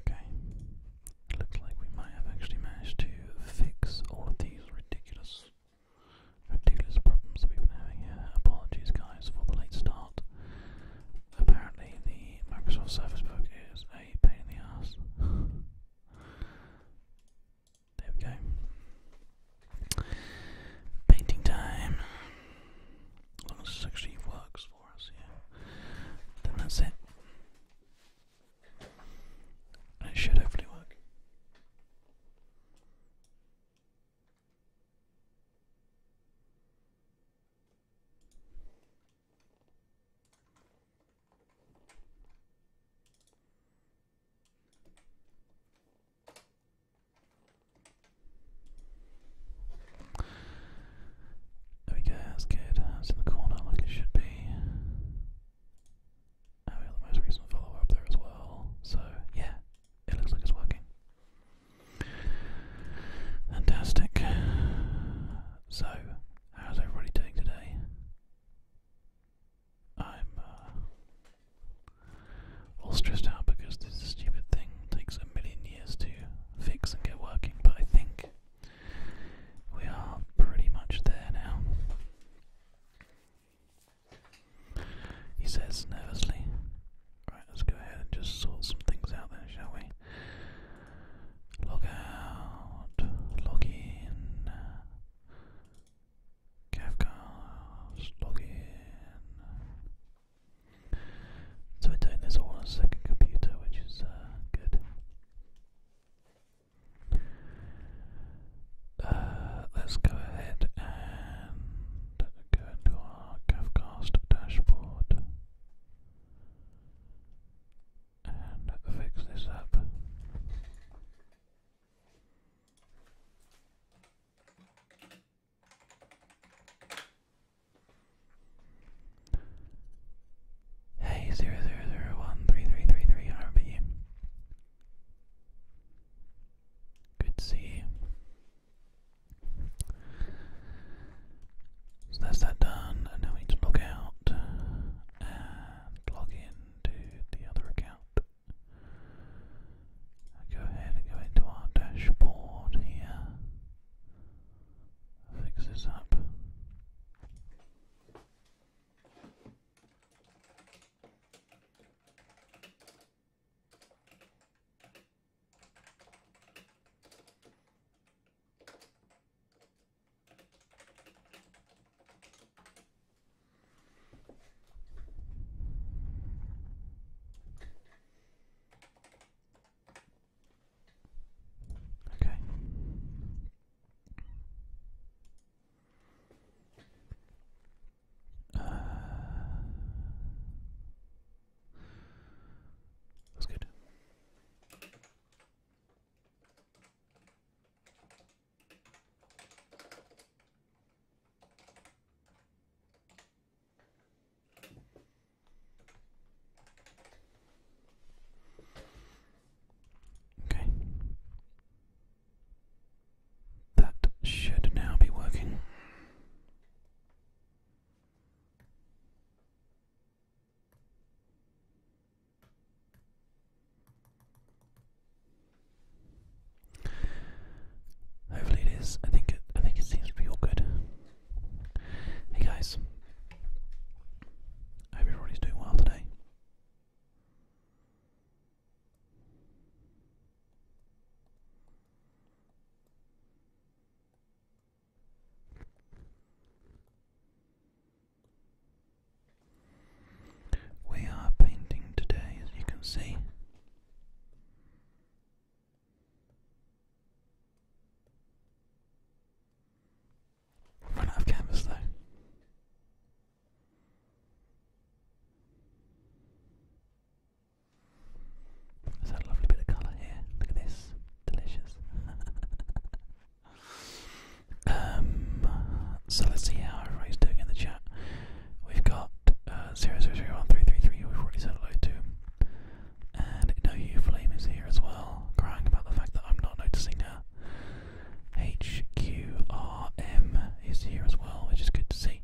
Okay, it looks like we might have actually managed to fix all of these ridiculous, ridiculous problems that we've been having here. Apologies, guys, for the late start apparently the Microsoft Surface Book is a pain in the ass. there we go. Painting time. As long as this actually works for us, yeah. Then that's it. it should hopefully work. There we go, that's good. That's in the corner like it should be. we got the most recent follower up there as well. So, yeah, it looks like it's working. Fantastic. So, how's everybody doing today? I'm uh, all stressed out because this stupid thing takes a million years to fix and get working, but I think we are pretty much there now. He says nervously, Right, let's go ahead and just sort some things out then, shall we? log out, log in, Cavcast, log in. So we're doing this on a second computer, which is uh, good. Uh, let's go ahead and go into our Cavcast dashboard and fix this up. Hey, zero zero zero one three three three three RB. Good to see you. So that's that done, and now we need to log out and log in to the other account. Go ahead and go into our dashboard here. Fix this up. Okay. Uh, that's good. Okay. That should now be working. Hopefully it is. I think it I think it seems to be all good. Hey guys. I hope everybody's doing well today. We are painting today, as you can see. run out of canvas though. There's that lovely bit of colour here. Look at this delicious. um, so let's see how everybody's doing in the chat. We've got uh, zero zero zero one three three three. We've already said hello to, and no you flame is here as well, crying about the fact that I'm not noticing her. HQRM is here as well, which is good to see.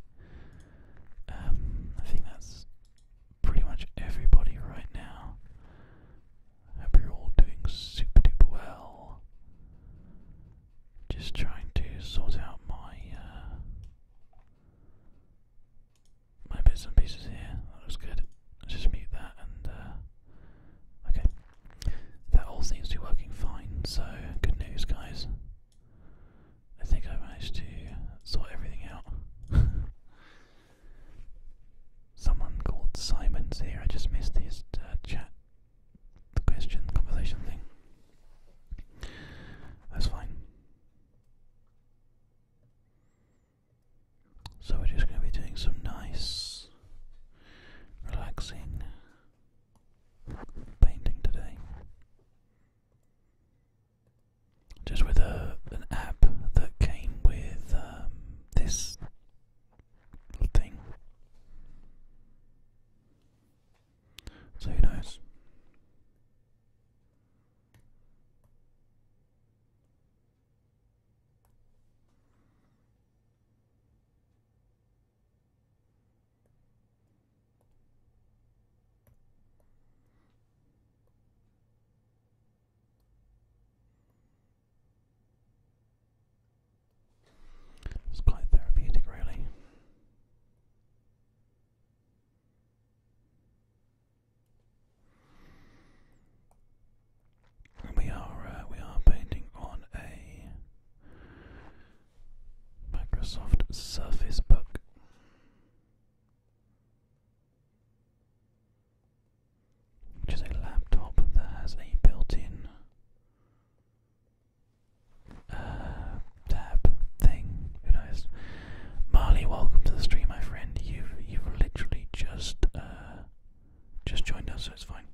Um, I think that's pretty much everybody right now. Hope you're all doing super duper well. Just trying to sort out my uh, my bits and pieces here. That looks good. Let's just mute that and uh, okay. That all seems to be working fine. So good news, guys. I think I managed to sort everything out. Someone called Simon's here. I just missed his uh, chat, the question, conversation thing. That's fine. So we're just going to be doing some nice, relaxing painting today just with a an app that came with um, this thing. So who knows? It's quite therapeutic, really. we are uh, we are painting on a Microsoft Surface Book which is a laptop that has a built-in uh, tab thing. Who knows? Marley, welcome to the stream, my friend. You've you've literally just uh, just joined us, so it's fine.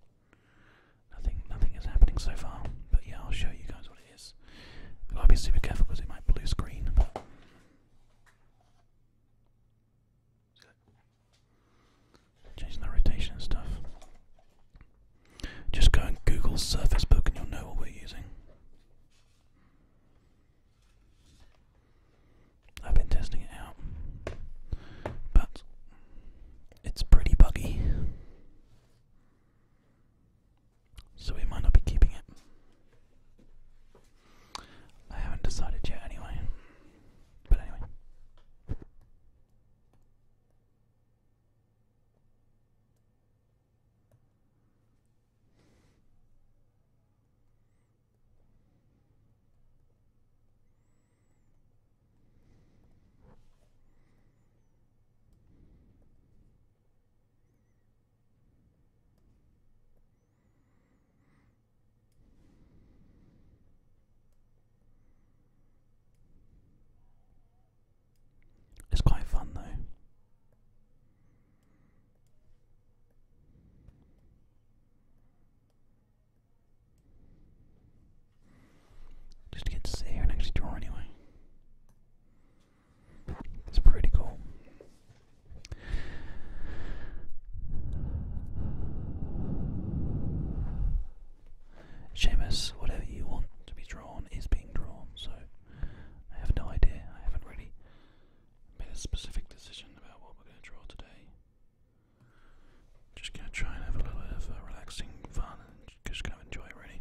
Nothing nothing is happening so far, but yeah, I'll show you guys what it is. I'll be super careful because it might blue screen. Changing the rotation stuff. Just go and Google Surface Book and you'll know what we're using. I've been testing it out, but it's pretty buggy, so we might not be keeping it. I haven't decided yet, anyway. But anyway. It's quite fun though. Just get to sit and actually draw anyway. It's pretty cool. Seamus, whatever you want to be drawn is being drawn, so I have no idea. I haven't really made a specific decision about what we're going to draw today. Just going to try and have a little bit of uh, relaxing fun and just going to enjoy it, really.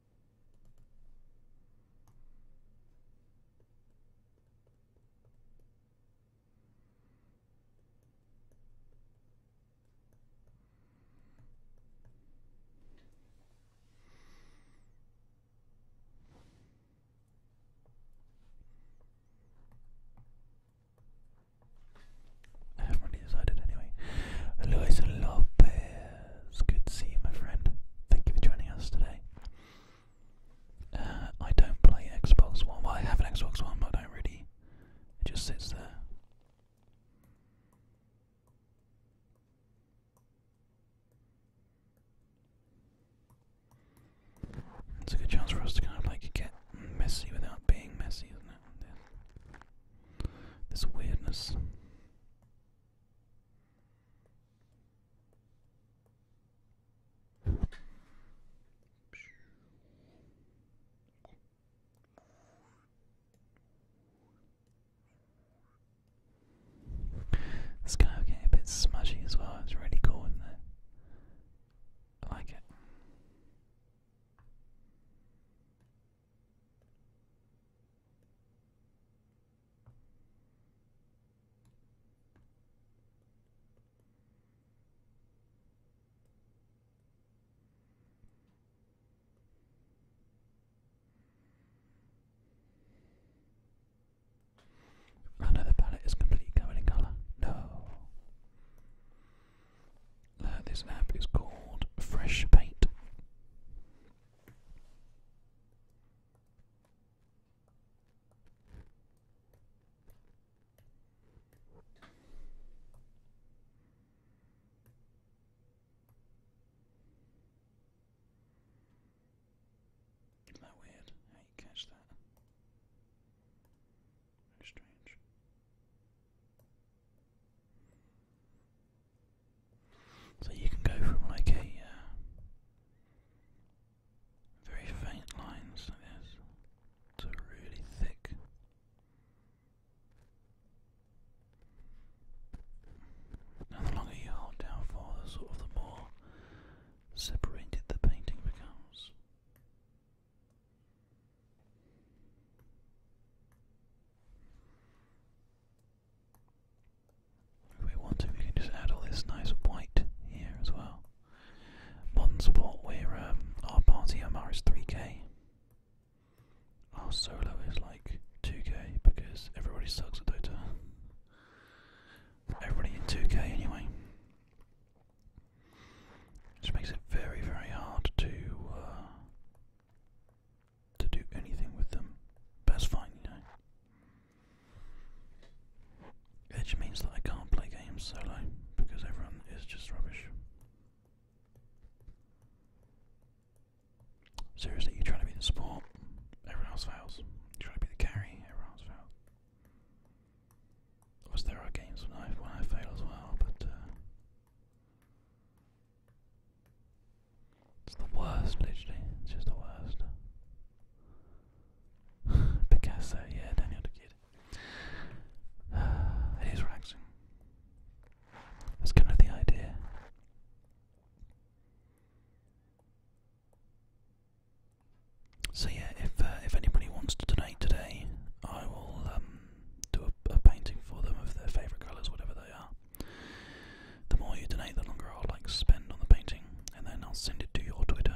I haven't really decided anyway. Luis Lopez. It's good to see you, my friend. Thank you for joining us today. Uh, I don't play Xbox One. I have an Xbox One, but I don't really. It just sits there. It's a good chance for us to kind of like get messy without being messy, is This weirdness. The sky kind of getting a bit smudgy as well, it's really cool, I like it. Oh no, the palette is completely covered in colour. No. Uh, this app is called Fresh Paint is that weird how you catch that? strange. So you can go from like a uh, very faint lines like this to really thick. Now the longer you hold down for, the sort of the more separated the painting becomes. If we want to, we can just add all this nice white here as well. One spot where um, our party MR is 3k. Our solo is like 2k because everybody sucks at Dota. Everybody in 2k anyway. Which makes it very, very hard to uh, to do anything with them, that's fine, you know. Edge means that I can't play games solo because everyone is just rubbish. Seriously, you try to be the support, everyone else fails. You try to be the carry, everyone else fails. Of course, there are games when I, fail as well, but uh, it's the worst, literally. It's just the worst. Picasso, yeah, Daniel the Kid. Uh, relaxing. That's kind of the idea. So yeah, if uh, if anybody wants to donate today, I will um, do a painting for them of their favourite colours, whatever they are. The more you donate, the longer I'll like spend on the painting, and then I'll send it to your Twitter,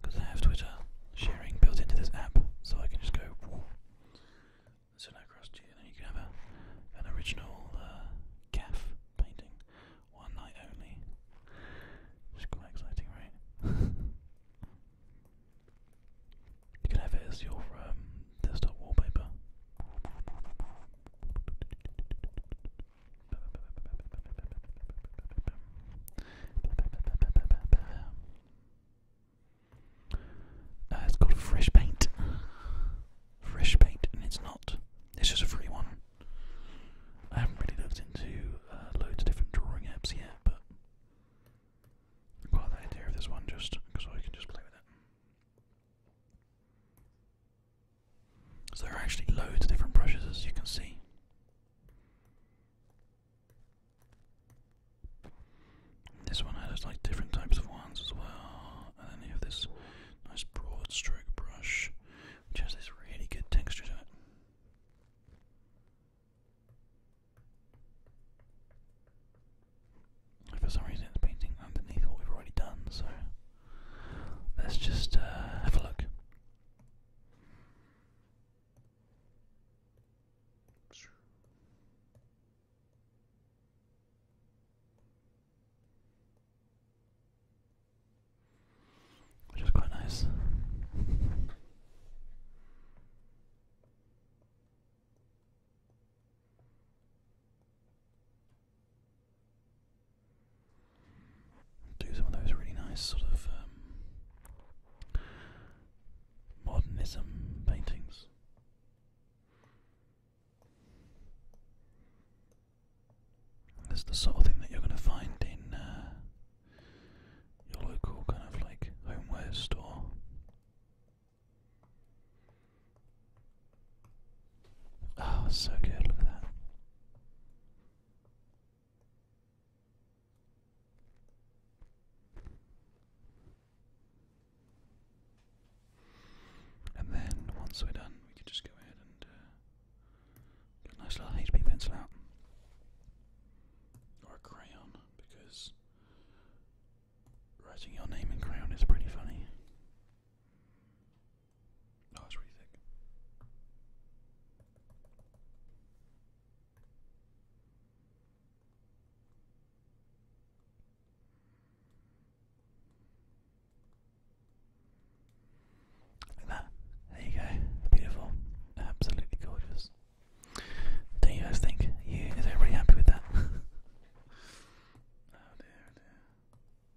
because I have Twitter sharing built into this app, so I can just go send it across to you, and you can have an original uh, calf painting, one night only. It's quite exciting, right? you can have it as your um, desktop wallpaper. Uh, it's called Fresh Paint. Fresh Paint, and it's not. It's just a free one. I haven't really looked into uh, loads of different drawing apps yet, but quite the idea of this one just because I can just play with it. So there are actually loads of different brushes as you can see. This one has like different types of ones as well. And then you have this nice broad stroke brush which has this really good texture to it. For some reason, it's painting underneath what we've already done, so Let's just uh, have a look. Which is quite nice do some of those really nice sort of um, modernism paintings. That's the sort of thing that you're going to find in uh, your local kind of like homeware store. Oh, so good, look at that. And then once we're done, we can just go ahead and uh, get a nice little HP pencil out. Or a crayon, because writing your name in crayon is pretty funny. No, that's what you think. There you go. Beautiful. Absolutely gorgeous. do you guys think? You is everybody happy with that? oh dear, oh,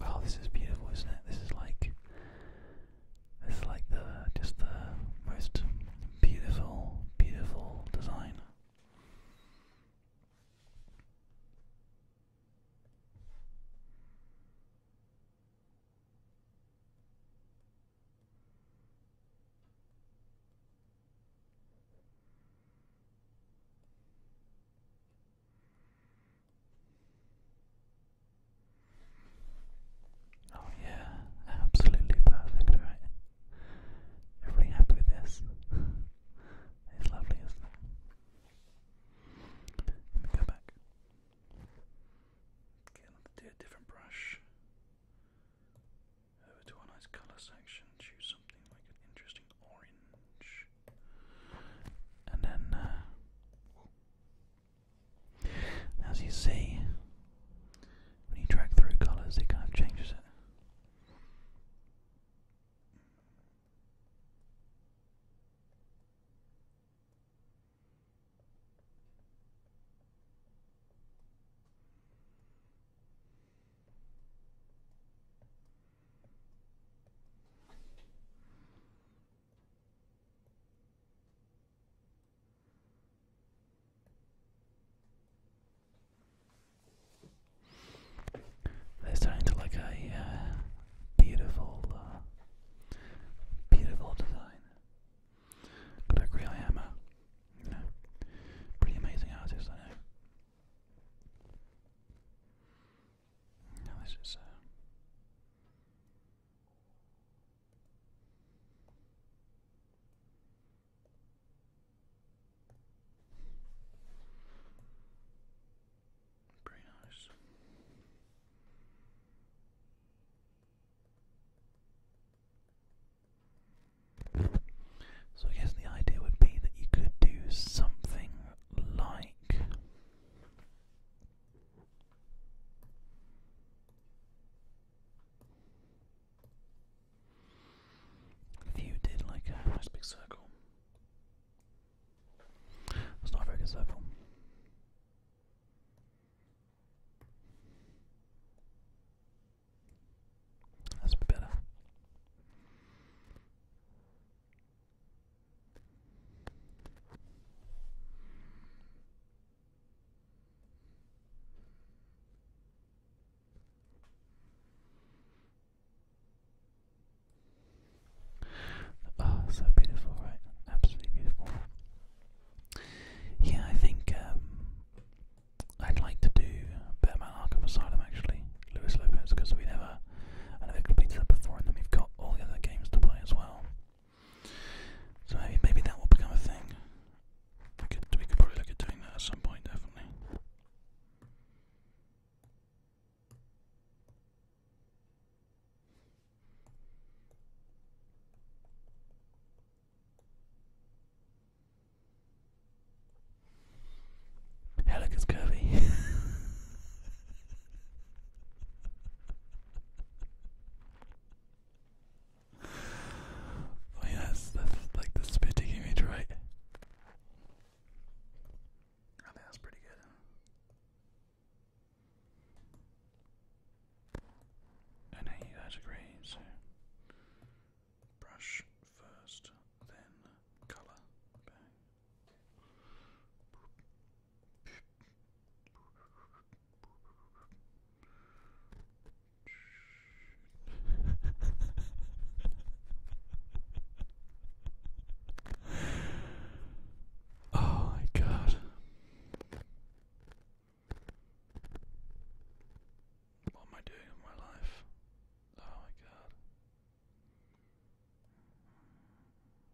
Oh, this is beautiful, isn't it? This is like it's like the just the most beautiful, beautiful design. Oh yeah, absolutely perfect, right? you happy with this. it's lovely, Let me go back. Okay, let's do a different brush. Over to our nice colour section, choose something like an interesting orange. And then uh, as you see, when you drag through colours, it kind of changes it. They're starting to like a uh, beautiful, uh, beautiful design. But I really am a, pretty amazing artist, I know. So, I guess the idea would be that you could do something like if did like a nice big circle, it's not very good circle. That's better. Oh, so beautiful, right? Absolutely beautiful. Yeah, I think um, I'd like to do Batman Arkham Asylum actually, Luis Lopez, because we never, I never completed that before, and then we've got all the other games to play as well. So maybe, that will become a thing. We could, probably look at doing that at some point, definitely. Helica's curvy. I oh, mean, that's, like the spitting image, right? I think that's pretty good. I need that degree, so brush first, then colour oh my god. What am I doing with my life? Oh my god.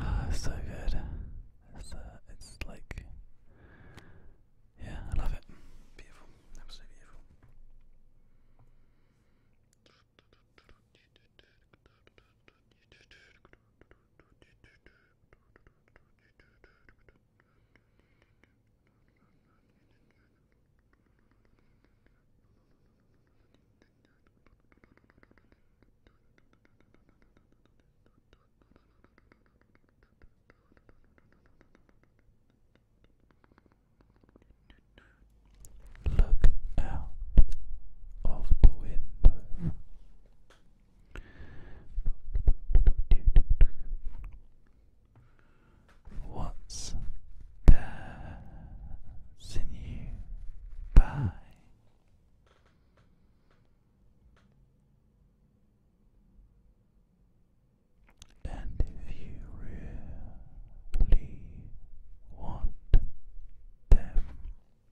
Oh, so good. It's, uh, it's like, yeah, I love it. Beautiful, absolutely beautiful. Look out of the window. What's passing you by? And if you really want them young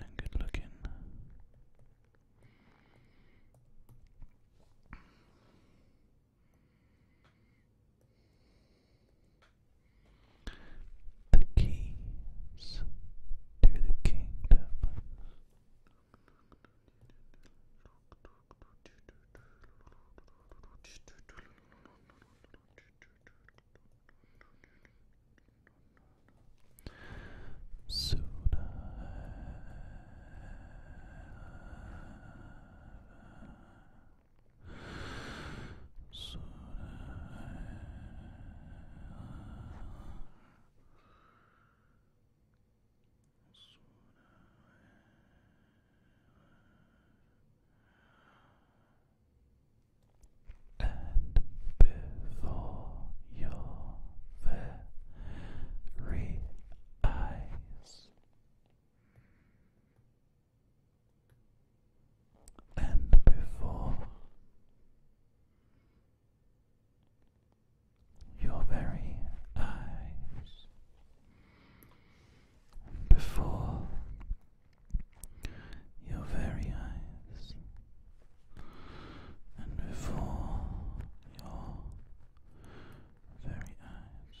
and good looking the keys to the kingdom. Soon so and before your very eyes, and before. Your very eyes before your very eyes and before your very eyes.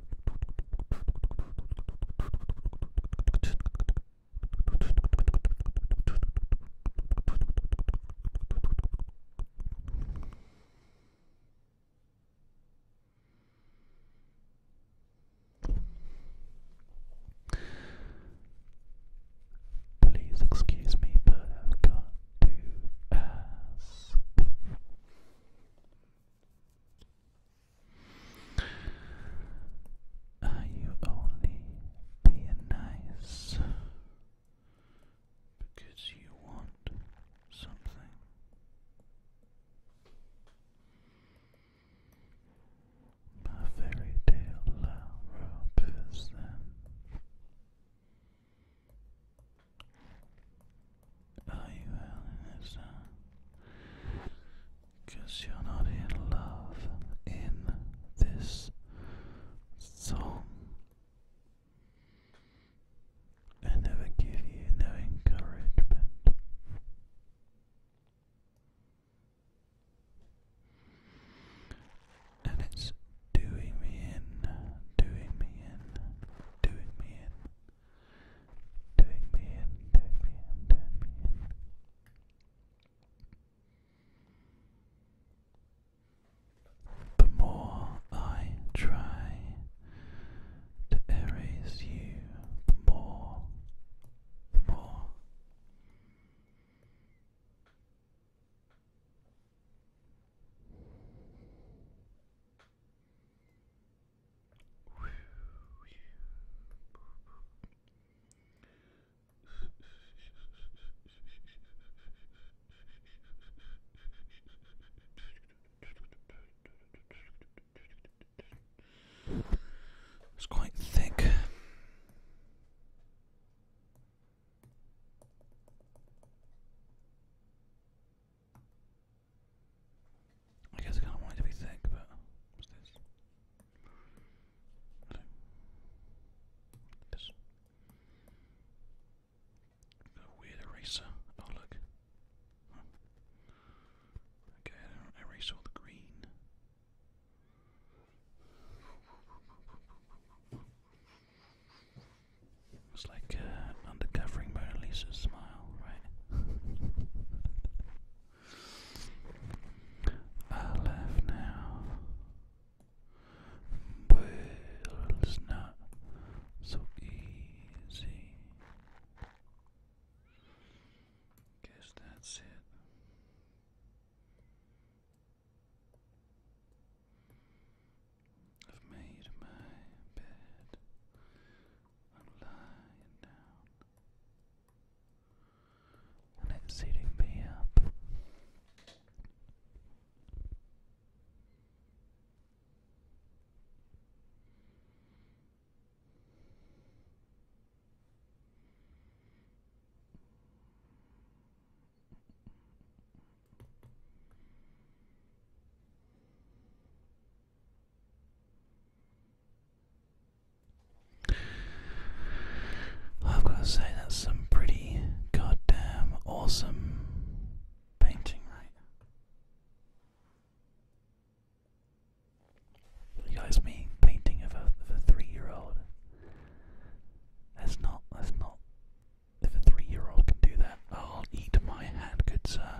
Please excuse me, but I've got to ask. Are you only being nice because you want something? My fairy tale rope is Oh, are you uh, Cause you're not in love in this song. I never give you no encouragement. And it's doing me in, doing me in, doing me in. Take me take me take me The more I try to erase you, the more, the more. It's quite thick. I guess I kind of want it to be thick, but what's this? A weird eraser. Oh look. Okay, I do all the green. It's like uh, Mona Lisa's smile right? I laugh now, but not so easy. Guess that's it. I've made my bed. I'm lying down and it's eating me up. I've got to say, that's some pretty goddamn awesome painting, right? You guys, painting of a, three-year-old. That's not. That's not. If a three-year-old can do that, I'll eat my hat, good sir.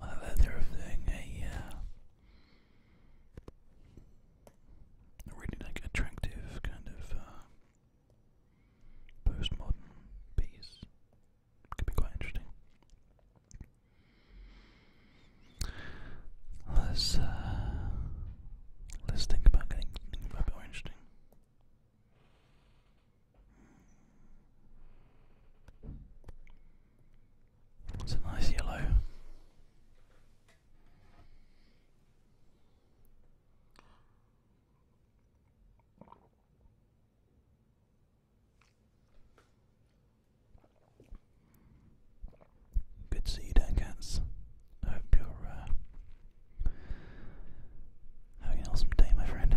I heard they're really like attractive kind of uh, postmodern piece. Could be quite interesting. Let's uh, let's think about getting something a bit more interesting. It's a nice yellow. Good to see you down, cats. hope you're uh, having an awesome day, my friend.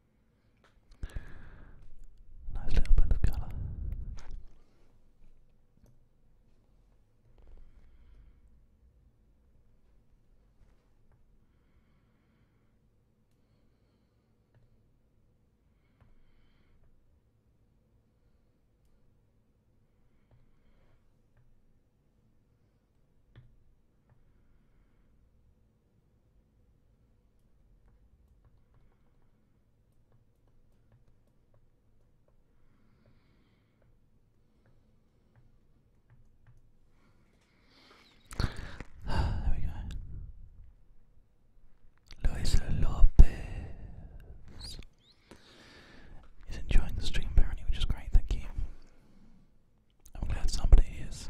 Nice little bit of colour there we go. Luis Lopez is enjoying the stream apparently, which is great, thank you. I'm glad somebody is.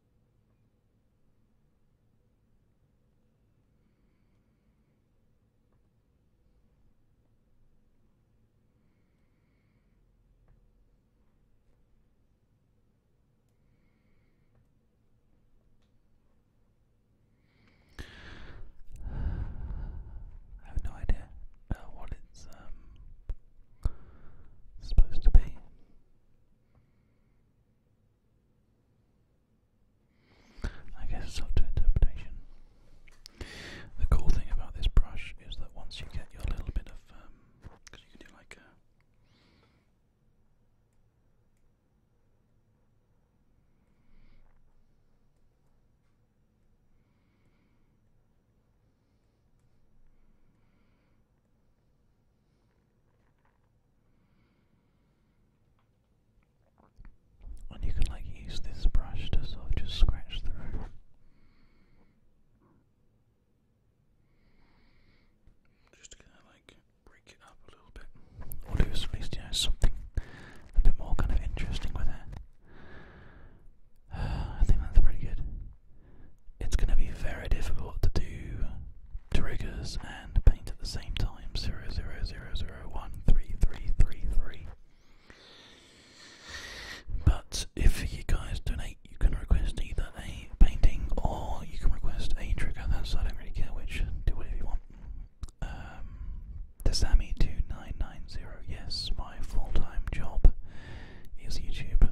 I have no idea uh, what it's um, supposed to be. I guess it's up to interpretation. The cool thing about this brush is that once you get your little bit of, um, you can do like a and you can like use this brush to sort of just scratch through. Just to kind of like break it up a little bit. Or do at least, you know, something a bit more kind of interesting with it. I think that's pretty good it's going to be very difficult to do triggers and paint at the same time. 0, 0, 0, 0, 1, 3, 3, 3, 3. But if you guys donate, you can request either a painting or you can request a trigger. That's I don't really care which. Do whatever you want. the um, Sammy two nine nine zero. Yes, my full time job is YouTube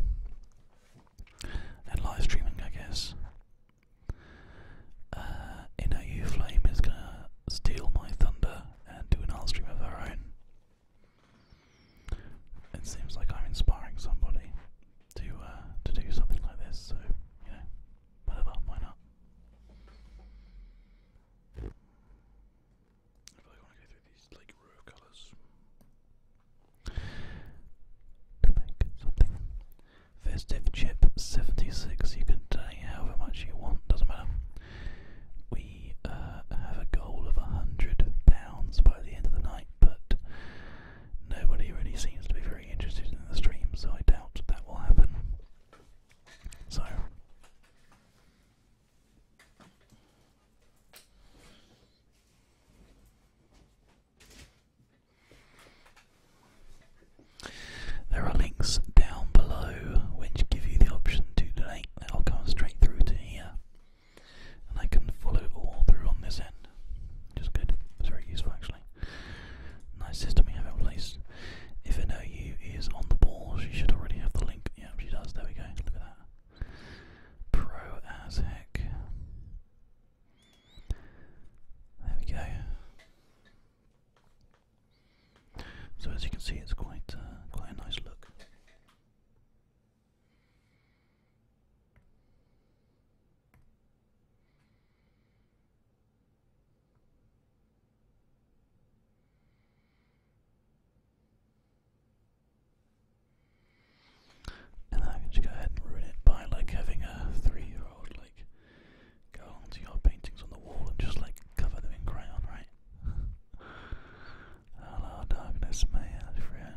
and live streaming. I guess uh, Inner U Flame is gonna steal my thunder and do an art stream of her own. It seems like I'm inspiring somebody to uh, to do something like this, so you know, whatever, why not? I feel want to go through these like raw colours to make something. Festive chip 76, you can take however much you want, doesn't matter. We uh, have a goal of £100 by the end of the night, but nobody really seems to be very interested in the stream, so I doubt that will happen. So. There are links down below which give you the option to donate. i will come straight through to here. And I can follow all through on this end. Which good. It's very useful actually. Nice system we have in place. If know you is on the ball, she should already have the link. Yeah, she does. There we go. Look at that. Pro as heck. There we go. So as you can see, it's quite uh, quite a nice look. And I can just go ahead and ruin it by like having a three year old like go onto your paintings on the wall and just like cover them in crayon, right? Hello darkness, my old friend.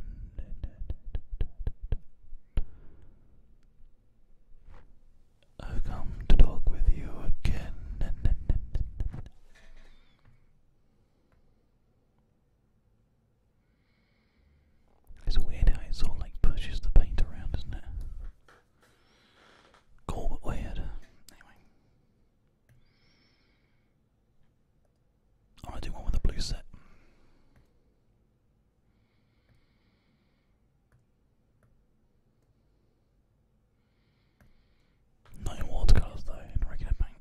I've come to talk with you again. It's weird how it sort of like pushes the paint around, isn't it? Cool but weird. Anyway. I want do one with a blue set. Not watercolours though, in regular paint.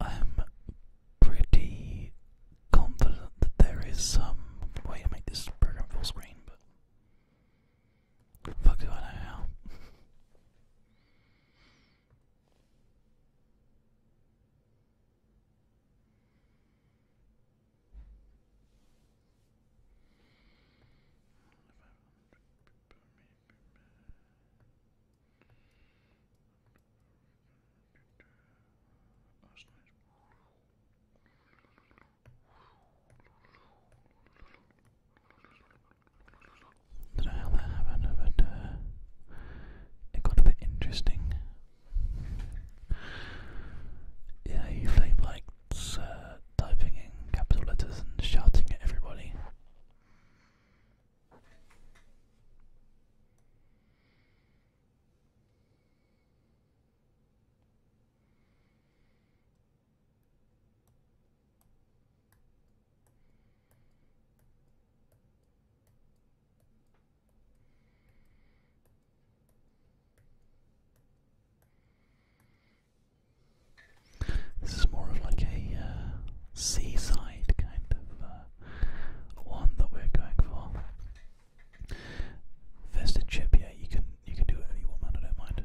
I'm pretty confident that there is some way to make this program full screen, but fuck do I know how. Don't know how that happened, but uh, it got a bit interesting. Yeah, you flame likes uh, in capital letters and shouting at everybody. This is more of like a uh, seaside kind of uh, one that we're going for a chip, yeah, you can you can do whatever you want, man, I don't mind.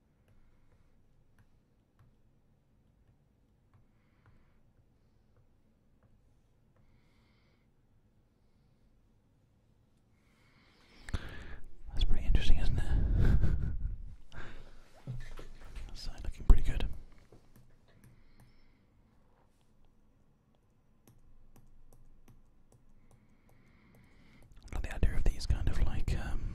That's pretty interesting, isn't it? that side looking pretty good. Like the idea of these kind of like um,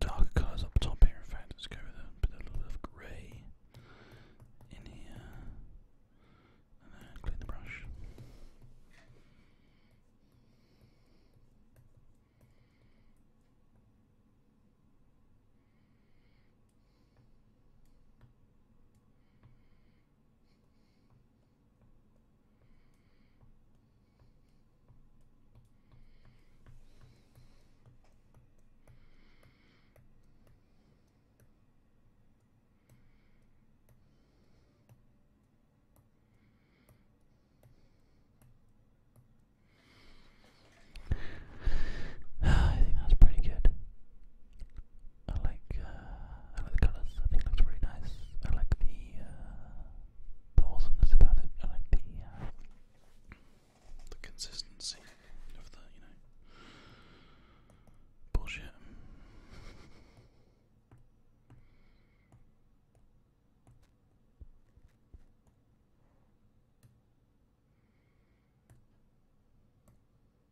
dark colours up top here. In fact, let's go with a little bit of grey in here, and then clean the brush. I think that's pretty good. Uh, I like the colours. I think looks really nice. I like the uh, about it. I like the uh, the consistency of the you know bullshit.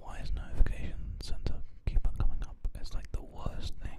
Why is notification center keep on coming up? It's like the worst thing.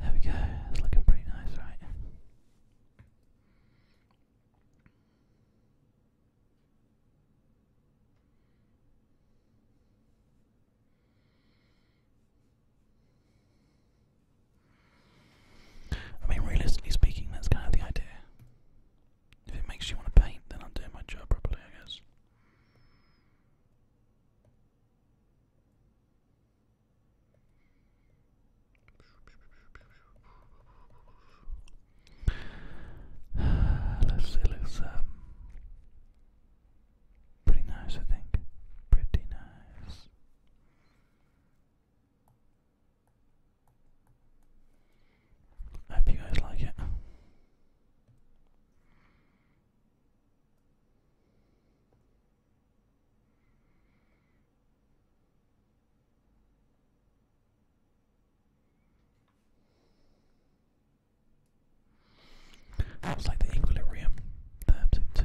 There we go, it's looking pretty nice, right? I mean, realistically speaking, that's kind of the idea. If it makes you want to paint, then I'm doing my job properly, I guess. Let's see, looks um, pretty nice, I think. Pretty nice. I hope you guys like it. That was like the equilibrium terms in two.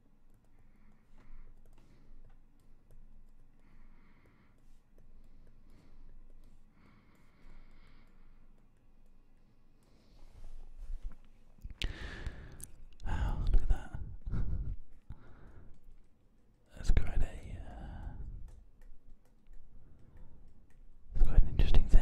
Oh, look at that. That's quite a uh, that's quite an interesting thing.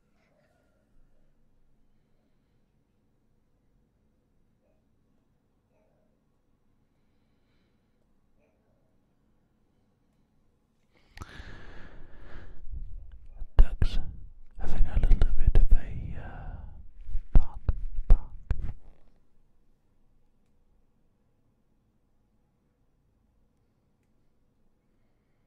Ducks having a little bit of a uh, bark, bark.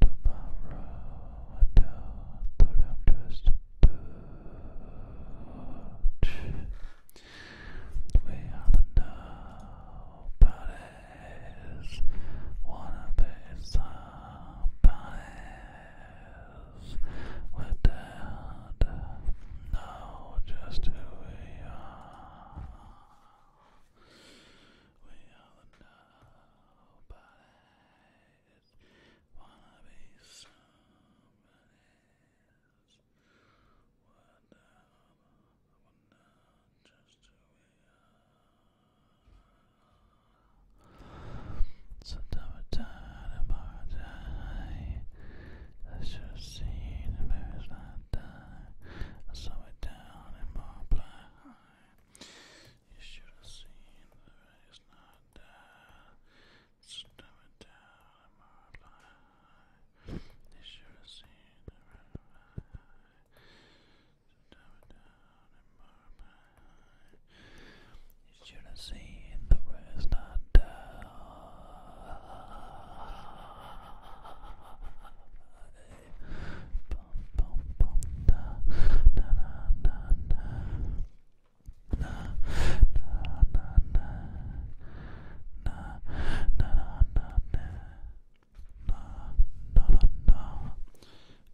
tomorrow no, but I'm just a We are the nobodies, wanna be somebodies. We're just who we are. We are the Wanna be somebody just who we are. Sometimes I'm tired day. I should see the bears not die. I down in my blind. You should have seen the race not down, slow it down, You should have seen the red Slow it down You should have seen the rest not down. Bum,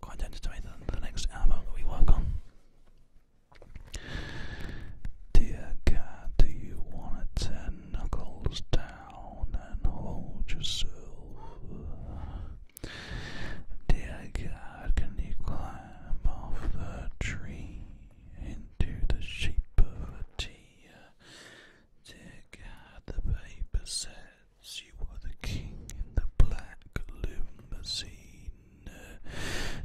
Quite anticipated the next album that we work on. Dear cat, do you wanna turn knuckles down and hold yourself? Dear God, can you climb off the tree into the shape of a tear? Dear God, the paper says you were the king in the black limousine.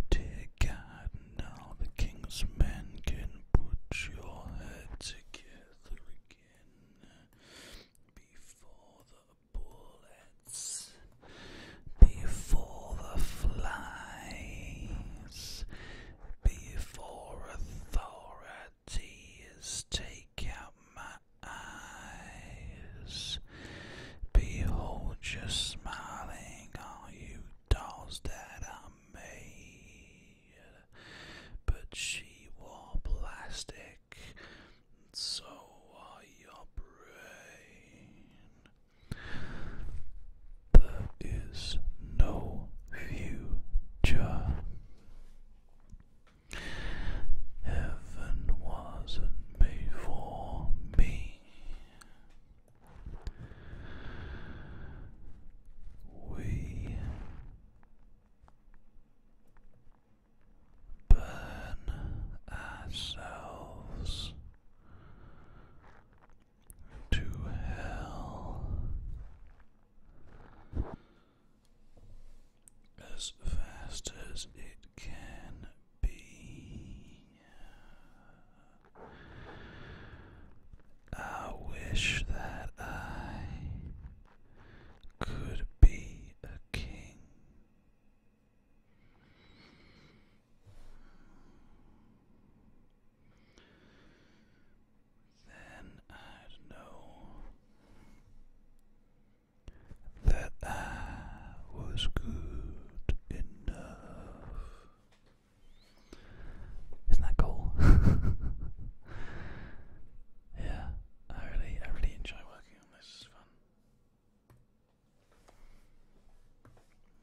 Dear God, now the king's men can put your head together again before the bullets before the flies, before authorities take out my eyes. Behold, your smiling, all you dolls that I made. But she wore plastic so I your There is no future. Heaven wasn't made for me. We burn ourselves to hell as fast as it can be. I wish that I could be a king. Then i know that I was good enough. Isn't that cool? yeah, I really, I really enjoy working on this.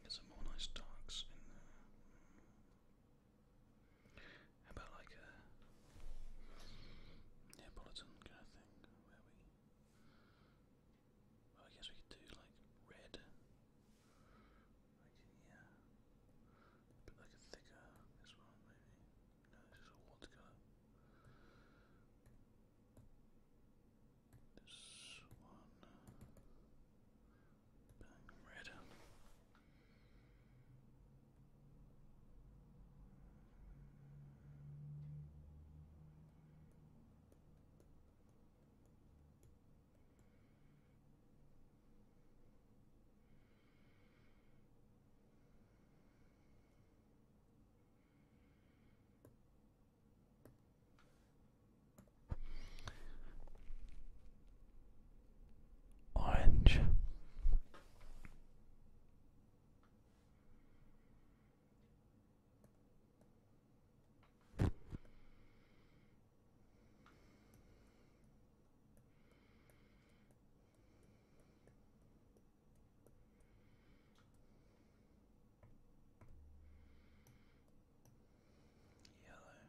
Get some more nice darks in there. How about like a Neapolitan kind of thing where we. Well, I guess we could do like red. yeah. But like a thicker, this one maybe. No, this is a watercolour. This one. Bang, red. Orange. Yellow.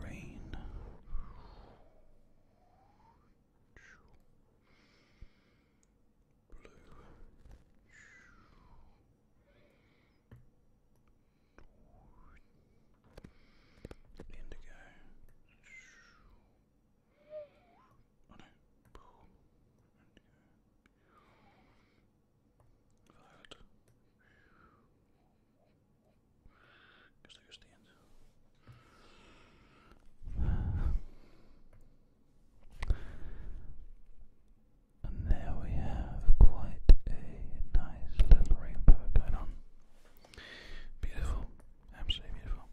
Green. Blue. Indigo. Oh no. Indigo. Violet. Guess and there we have quite a nice little rainbow going on. Beautiful, absolutely beautiful.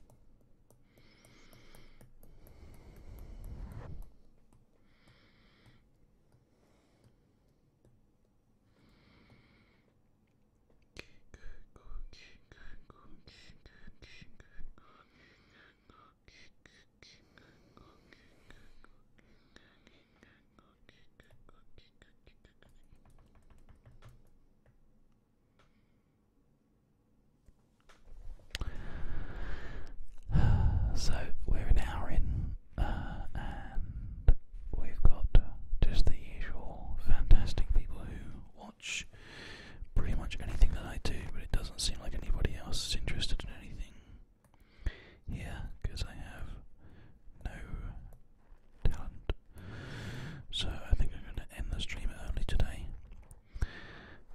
So we're an hour in, uh, and we've got just the usual fantastic people who watch pretty much anything that I do, but it doesn't seem like anybody else is interested in anything here because I have no talent. So I think I'm going to end the stream early today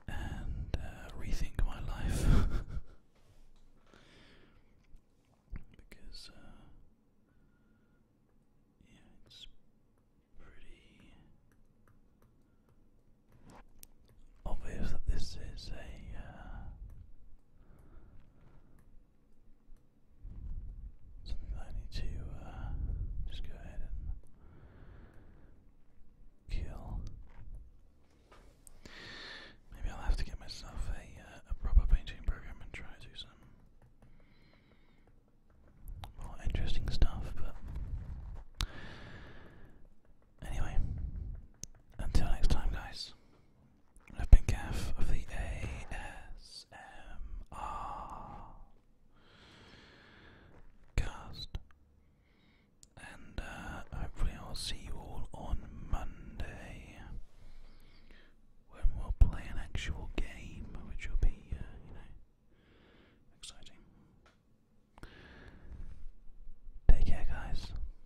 and uh, rethink my life because uh, yeah, it's pretty obvious that this is a uh, something that I need to uh, just go ahead and kill. Maybe I'll have to get myself a, uh, a proper painting program and try to do some more interesting stuff, but anyway, until next time, guys. I've been Gaff of the ASMR cast, and uh, hopefully, I'll see you all on Monday when we'll play an actual game, which will be, uh, you know, exciting. Take care, guys.